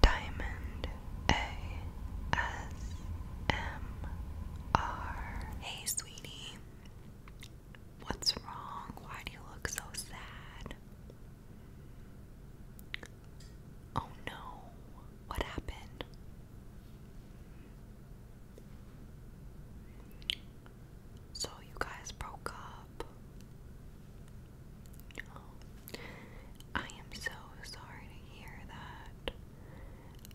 Diamond ASMR. Hey, sweetie. What's wrong? Why do you look so sad? Oh no, what happened? So, you guys broke up. I am so sorry to hear that.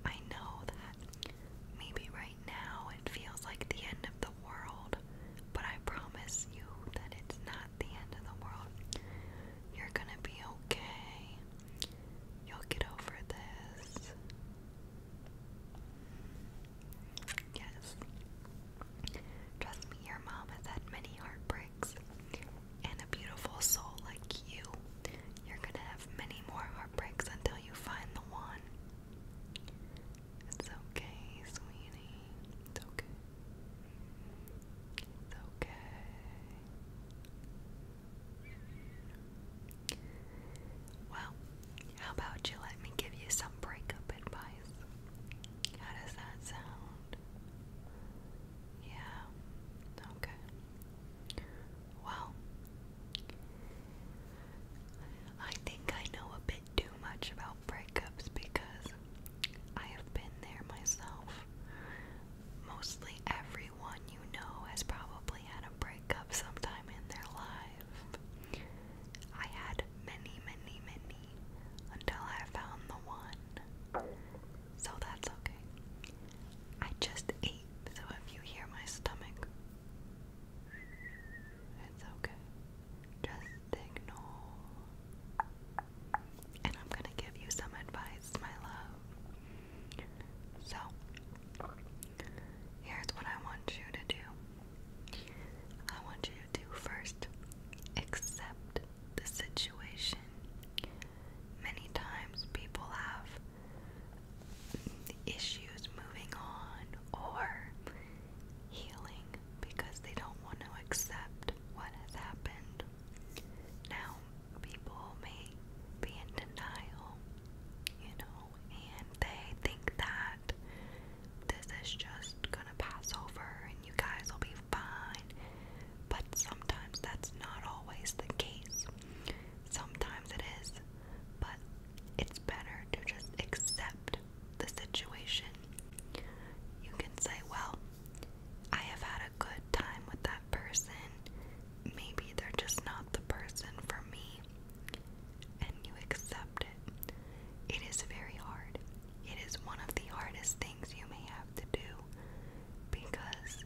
I know that maybe right now it feels like the end of the world, but I promise you that it's not the end of the world. You're gonna be okay. You'll get over this. Yes. Trust me, your mom has had many heartbreaks and a beautiful soul like you, you're gonna have many more heartbreaks until you find the one. It's okay, sweetie. It's okay. It's okay. Well, how about you let me give you some breakup advice? How does that sound? Yeah. Okay. Well, I think I know a bit too much about breakups because I have been there myself. Mostly everyone you know has probably had a breakup sometime in their life. I had many, many, many until I found the one. So that's okay. I just ate, so if you hear my stomach, it's okay. Just ignore. And I'm gonna give you some advice, my love. So, here's what I want you to do I want you to first accept the situation. Many times people have issues moving on or healing because they don't want to accept what has happened. Now, people may be in denial, you know, and they think that this is just gonna pass over and you guys will be fine. But sometimes that's not always the case. Sometimes it is, but it's better to just accept the situation. You can say, Well, I have had a good time with that person. Maybe they're just not the person for me. And you accept it. It is very hard. It is one of the hardest things you may have to do because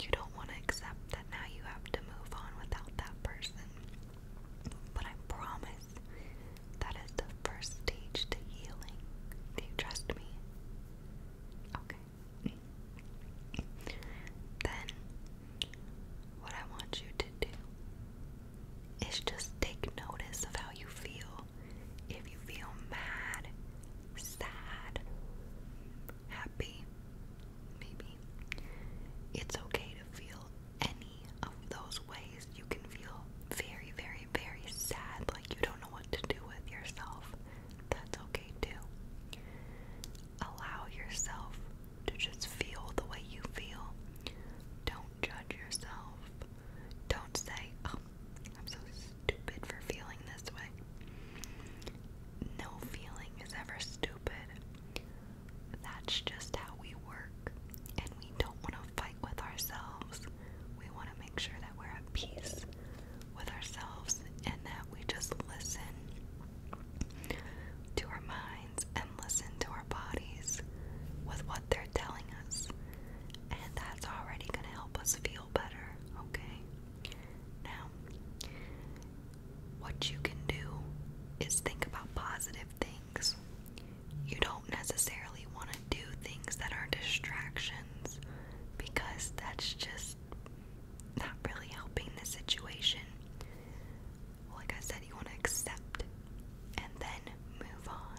you don't want to accept that now you have to move on without that person. But I promise that is the first stage to healing. Do you trust me? Okay. Then, what I want you to do is just take notice of how you feel. If you feel mad, sad, happy, maybe, it's okay to feel any of those ways. You can feel very, very, very sad, like you don't know what to do with yourself. That's okay too. Allow yourself to just feel the way you feel. Don't judge yourself. Don't say, oh, I'm so stupid for feeling this way. No feeling is ever stupid. That's just how we work. And we don't want to fight with ourselves. We want to make sure that we're at peace with ourselves and that we just listen to our minds and listen to our bodies with what they're telling us and that's already going to help us feel better, okay? Now, what you can do is think about positive things. You don't necessarily want to do things that are distractions because that's just not really helping the situation. Like I said, you want to accept and then move on on.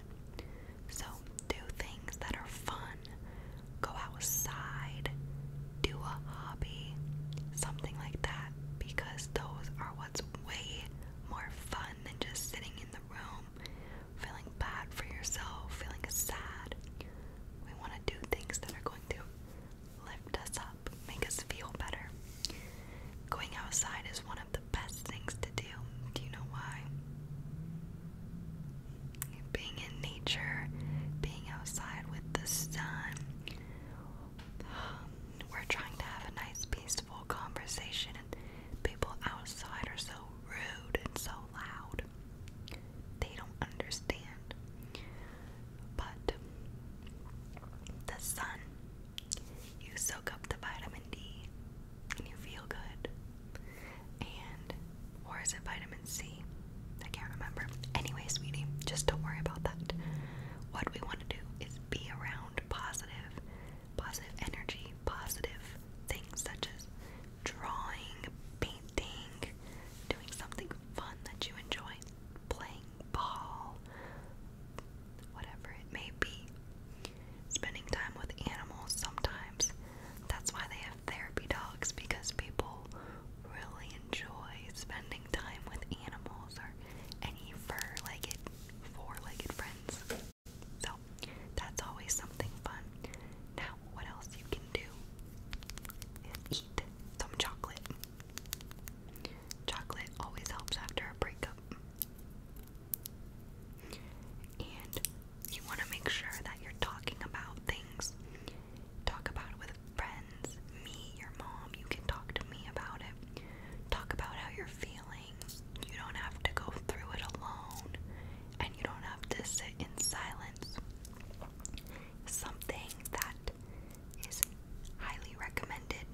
So, do things that are fun. Go outside. Do a hobby. Something like that. Because those are what's way more fun than just sitting in the room feeling bad for yourself, feeling sad. We want to do things that are going to lift us up, make us feel better. Going outside is one of the best things to do. Do you know why? Being in nature, being outside with the sun. We're trying to have a nice, peaceful conversation, and people outside are so rude and so loud. They don't understand. But the sun you soak up the vitamin D and you feel good. And, or is it vitamin C? I can't remember. Anyway, sweetie, just don't worry about that. What we want to do is be around positive, positive energy, positive things such as drawing, painting, doing something fun that you enjoy, playing ball, whatever it may be spending time with animals sometimes. That's why they have therapy dogs because people really enjoy spending time with animals or any fur-legged, four-legged friends. So that's always something fun. Now, what else you can do is eat some chocolate. Chocolate always helps after a breakup. And you want to make sure that you're talking about things. Talk about it with friends, me, your mom. You can talk to me about it. Talk about how you're feeling. You don't have to go through it alone, and you don't have to sit in silence. Something that is highly recommended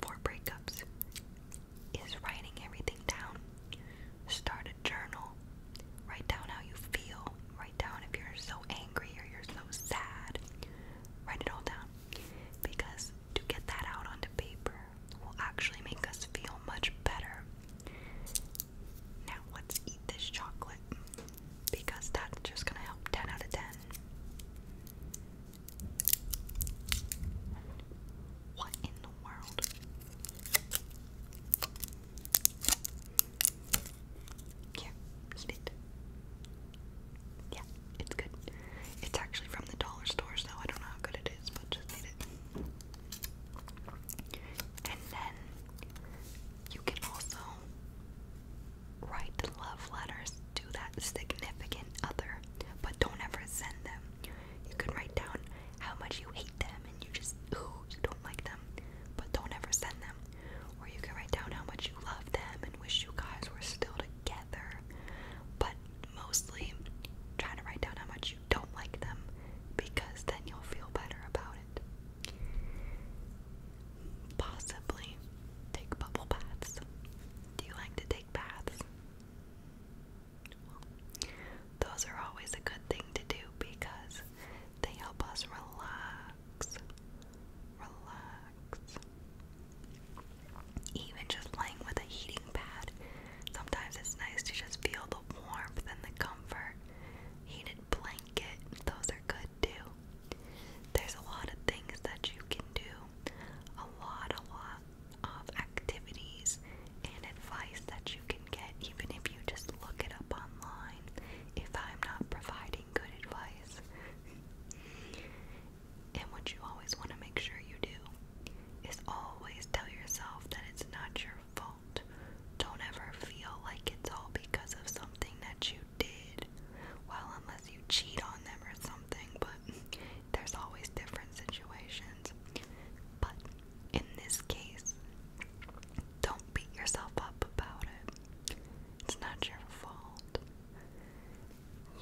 for breakups is writing everything down. Start a journal. Write down how you feel. Write down if you're so angry or you're so sad. Write it all down. Because to get that out onto paper will actually make us feel much better. Now, let's eat this chocolate because that's just gonna help 10 out of 10. What in the world? Here, eat it. Yeah, it's good. It's actually from the dollar store, so I don't know how good it is, but just eat it. And then you can also write love letters to that significant other, but don't ever send them. You can write down how much you hate them and you just, ooh, you don't like them, but don't ever send them. Or you can write down how much you love them and wish you guys were still together, but mostly try to write down how much you don't like them because then you'll feel better about it. Possibly take bubble baths. Do you like to take baths? Well, those are always a good thing to do because they help us relax. Relax. Even just laying with a heating pad, sometimes it's nice to just feel the warmth and the comfort. Heated blanket, those are good too. There's a lot of things that you can do a lot, a lot of activities and advice that you can get even if you just look it up online. If I'm not providing good advice, and what you always want to make sure you do is always tell yourself that it's not your fault. Don't ever feel like it's all because of something that you did. Well, unless you cheat on them or something, but there's always different situations. But in this case, don't beat yourself up about it. It's not your fault.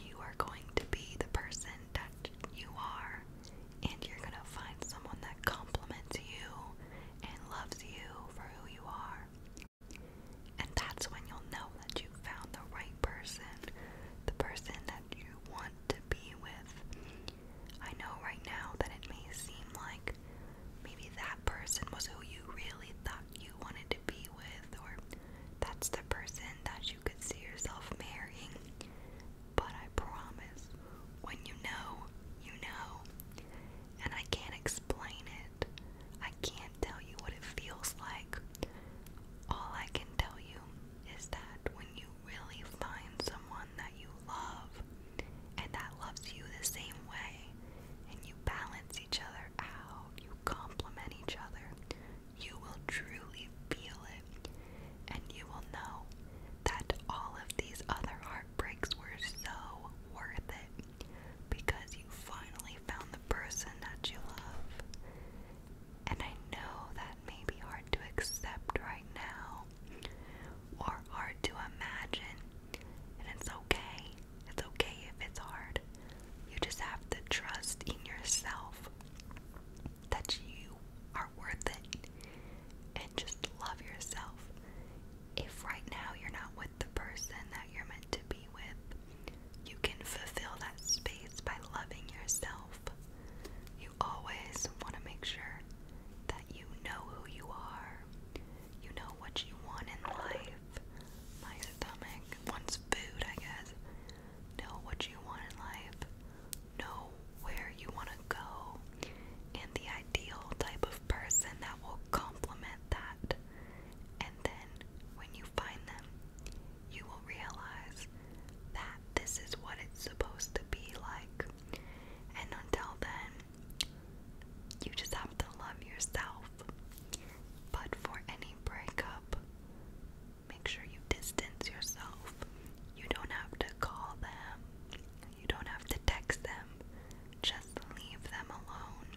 You are going to be the person that you are, and you're going to find someone that compliments you and loves you for who you are. And that's when you'll know that you found the right person, the person that you want to be with. I know right now that it may seem like maybe that person was who you really thought you wanted to be with, or that's the person that you could see yourself marrying. But I promise, when you know, you know. And I can't explain it. I can't tell you what it feels like all I can tell you is that when you really find someone that you love and that loves you the same way, and you balance each other out, you complement each other, you will truly feel it. And you will know that all of these other heartbreaks were so worth it because you finally found the person that you love. And I know that may be hard to accept right now or hard to imagine. And it's okay. It's okay if it's hard. You just have to trust in yourself that you are worth it and just love yourself. If right now you're not the person that you're meant to be with, you can fulfill that space by loving yourself. You always want to make sure that you know who you are, you know what you want in life. My stomach wants food, I guess. Know what you want in life, know where you want to go, and the ideal type of person that will complement that. And then when you you find them, you will realize that this is what it's supposed to be like. And until then, you just have to love yourself. But for any breakup, make sure you distance yourself. You don't have to call them, you don't have to text them. Just leave them alone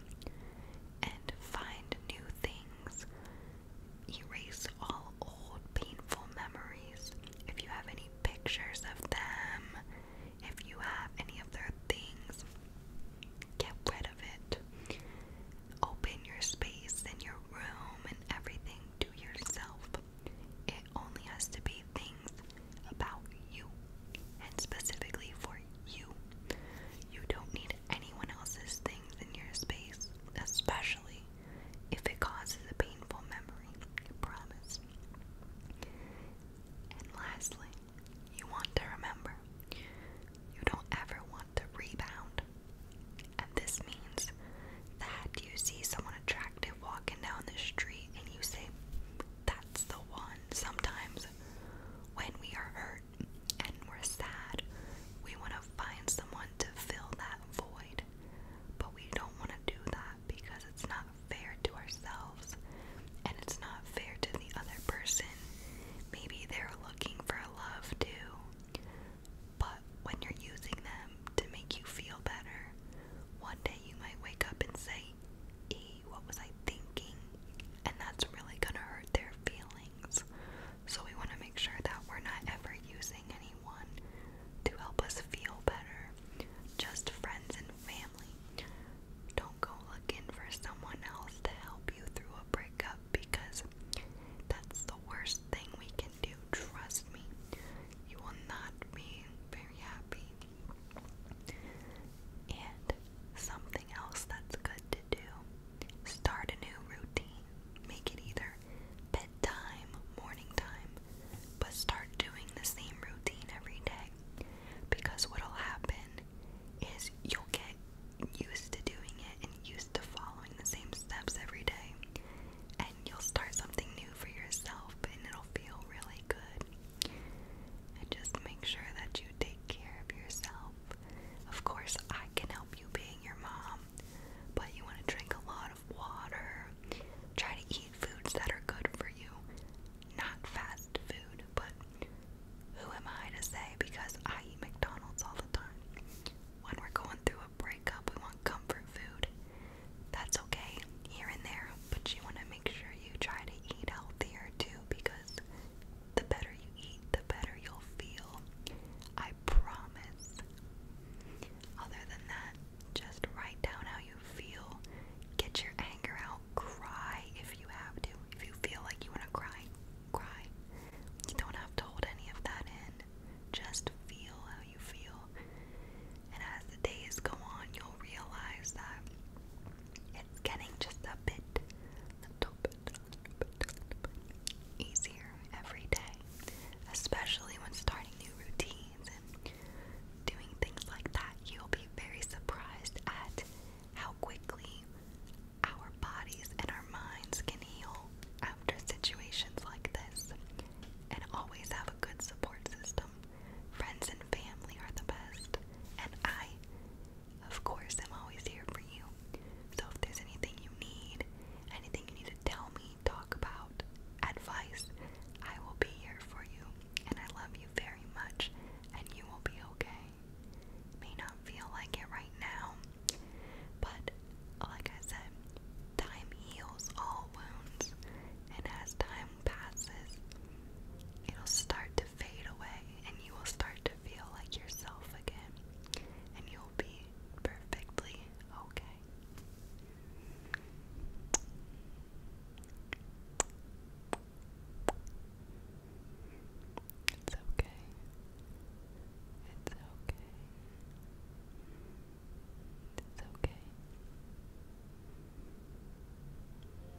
and find new things. Erase all old painful memories. If you have any pictures of them, if you have any of their things, get rid of it. Open your space and your room and everything to yourself. It only has to be things about you and specifically for you. You don't need anyone else's things in your space, especially if it causes a painful memory. I promise. And lastly, you want to remember you don't ever want to rebound. And this means that you see someone attractive walking down the street and you say, That's the one. Sometimes when we are hurt, and we're sad, we want to find someone to fill that void. But we don't want to do that because it's not fair to ourselves and it's not fair to the other person. Maybe they're looking for love too. But when you're using them to make you feel better, one day you might wake up and say, what was I thinking? And that's really gonna hurt their feelings. So we wanna make sure that we're not ever using anyone to help us feel better. Just friends and family. Don't go looking for someone else to help you through a breakup because that's the worst thing we can do. Trust me, you will not be very happy. And something else that's good to do. Start a new routine. Make it either bedtime, morning time, but start doing the same routine every day. Because what'll happen is you'll get used to doing it and used to following the same steps every day. And you'll start something new for yourself and it'll feel really good. And just make sure that you take care of yourself. Of course, I can help you being your mom, but you want to drink a lot of water. Try to eat foods that are good for you. Not fast food, but who am I to say because I eat McDonald's all the time? When we're going through a breakup, we want comfort food. That's okay, here and there, but you want to make sure you try to eat healthier too because the better you eat, the better you'll feel. I promise. Other than that, just write down how you feel. Get your anger out. Cry if you have to. If you feel like you want to cry, cry. You don't have to hold any of that in. Just feel how you feel. And as the days go on, you'll realize that it's getting just a bit, little bit, little little bit easier every day, especially when starting new routines and doing things like that. You'll be very surprised at how quickly our bodies and our minds can heal after situations like this. And always have a good support system. Friends and family are the best. And I of course, I'm always here for you. So if there's anything you need, anything you need to tell me, talk about, advice, I will be here for you. And I love you very much, and you will be okay. May not feel like it right now, but like I said, time heals all wounds, and as time passes, it'll start fade away and you will start to feel like yourself again and you'll be perfectly okay. It's okay. It's okay. It's okay.